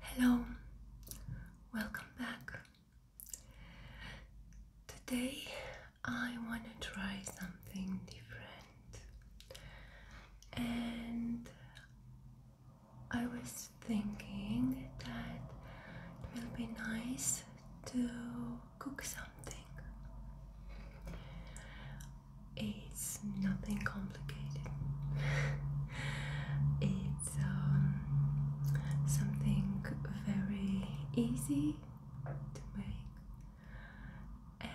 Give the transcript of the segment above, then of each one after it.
Hello, welcome back. Today I want to try something different, and I was thinking that it will be nice to cook something. It's nothing complicated. it's um, something very easy to make and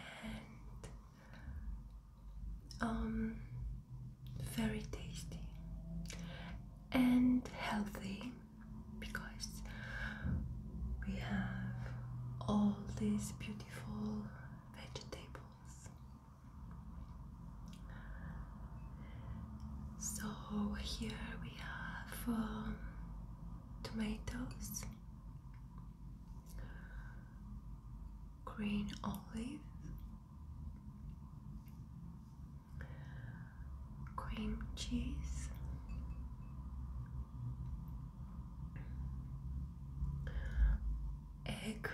um, very tasty and healthy because we have all these beautiful vegetables so here we have um, tomatoes, green olive, cream cheese. Egg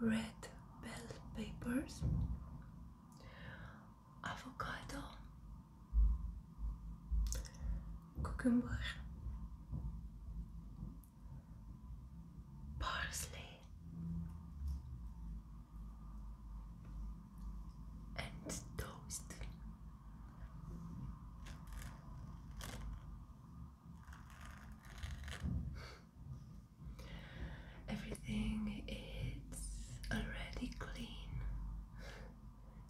red bell peppers, avocado, cucumber, parsley, and toast. Everything is already clean.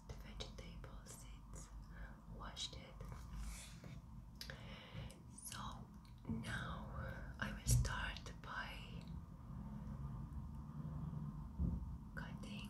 The vegetables, it's washed it. So now I will start by cutting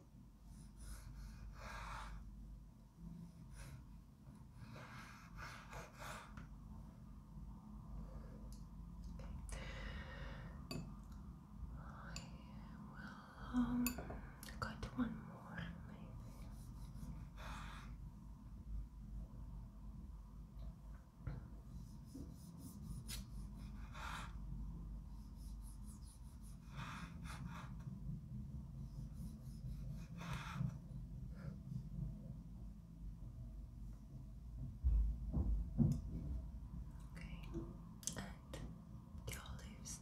I will um, cut one more, Okay, and the olives.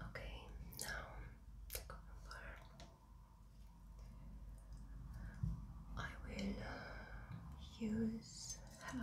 Okay, now I will uh, use help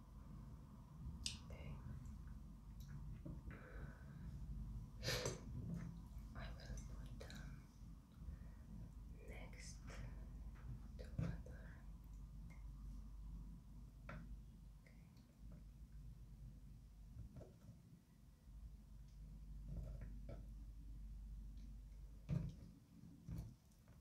Okay. I will put next to another.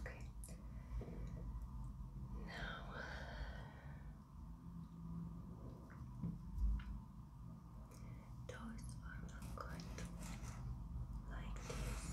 Okay. Now those are not good like this.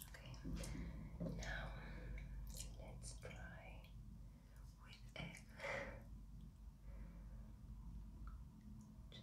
Okay, now let's try with egg. Just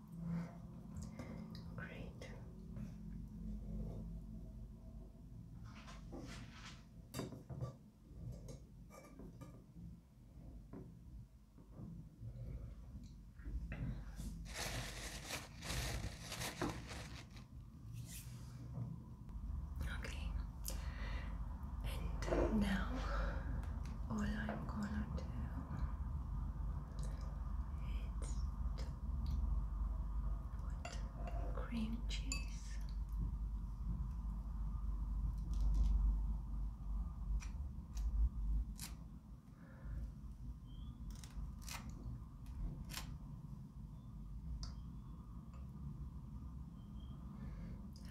Great. Okay, and now all I'm gonna do it's what cream cheese.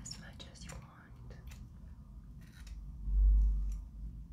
As much as you want.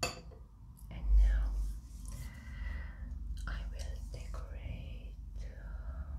Okay. And now I will decorate um,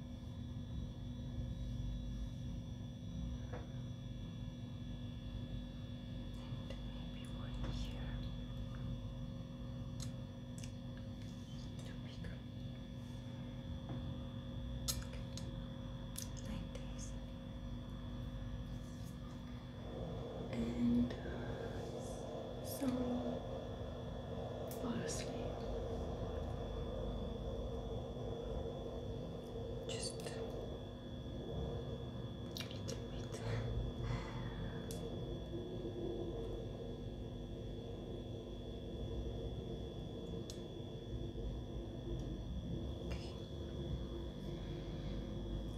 And maybe one here to be Like this. And uh, some honestly. Just a little bit. Okay.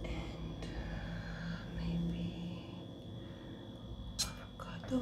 And uh, maybe avocado.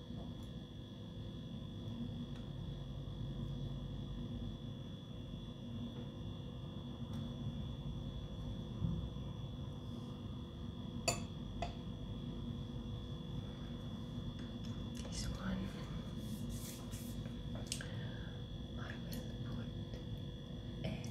This one I will put egg.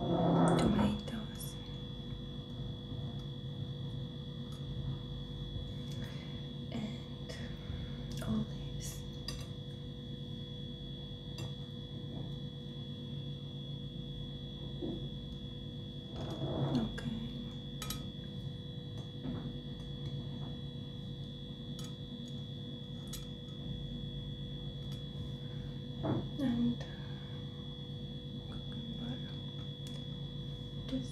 tomatoes and olives. Okay and uh, just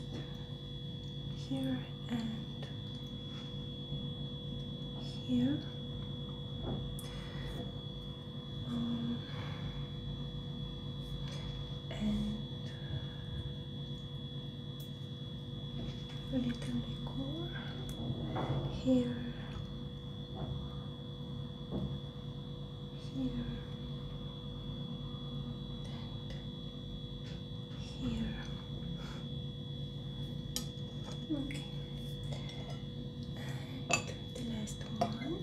here and here um, and a little decor here here and here okay and the last one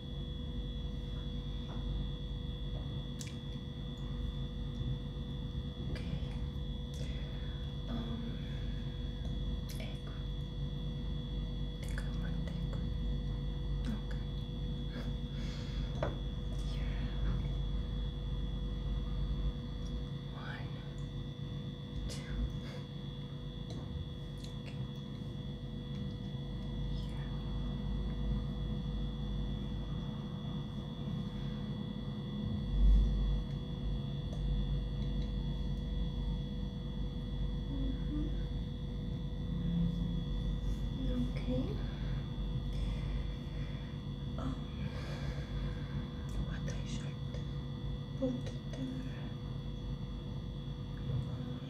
Okay. Um, ecco. Ecco, guarda, ecco. Okay. Here. One, two. Okay. Um, what I should put there. Yeah.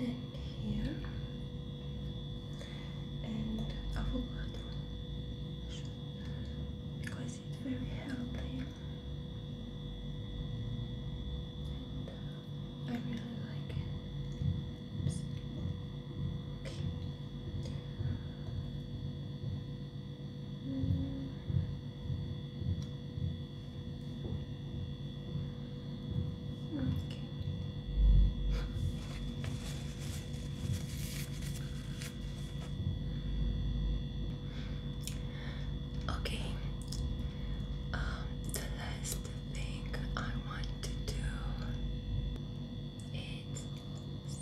Yeah. And here. And avocado. Because it's very healthy I really like it. Okay. Mm. Okay. Okay, um, the last thing I want to do is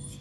see.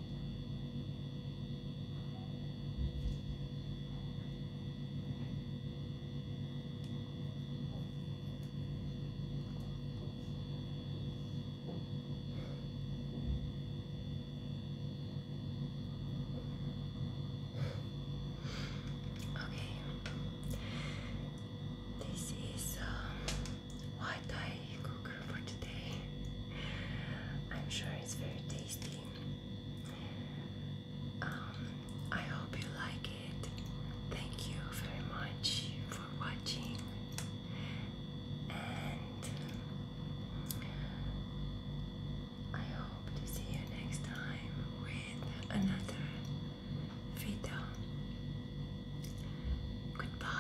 Okay, this is uh, what I cook for today. I'm sure it's very tasty. Um, I hope you like it. Thank you very much for watching. And I hope to see you next time with another video. Goodbye.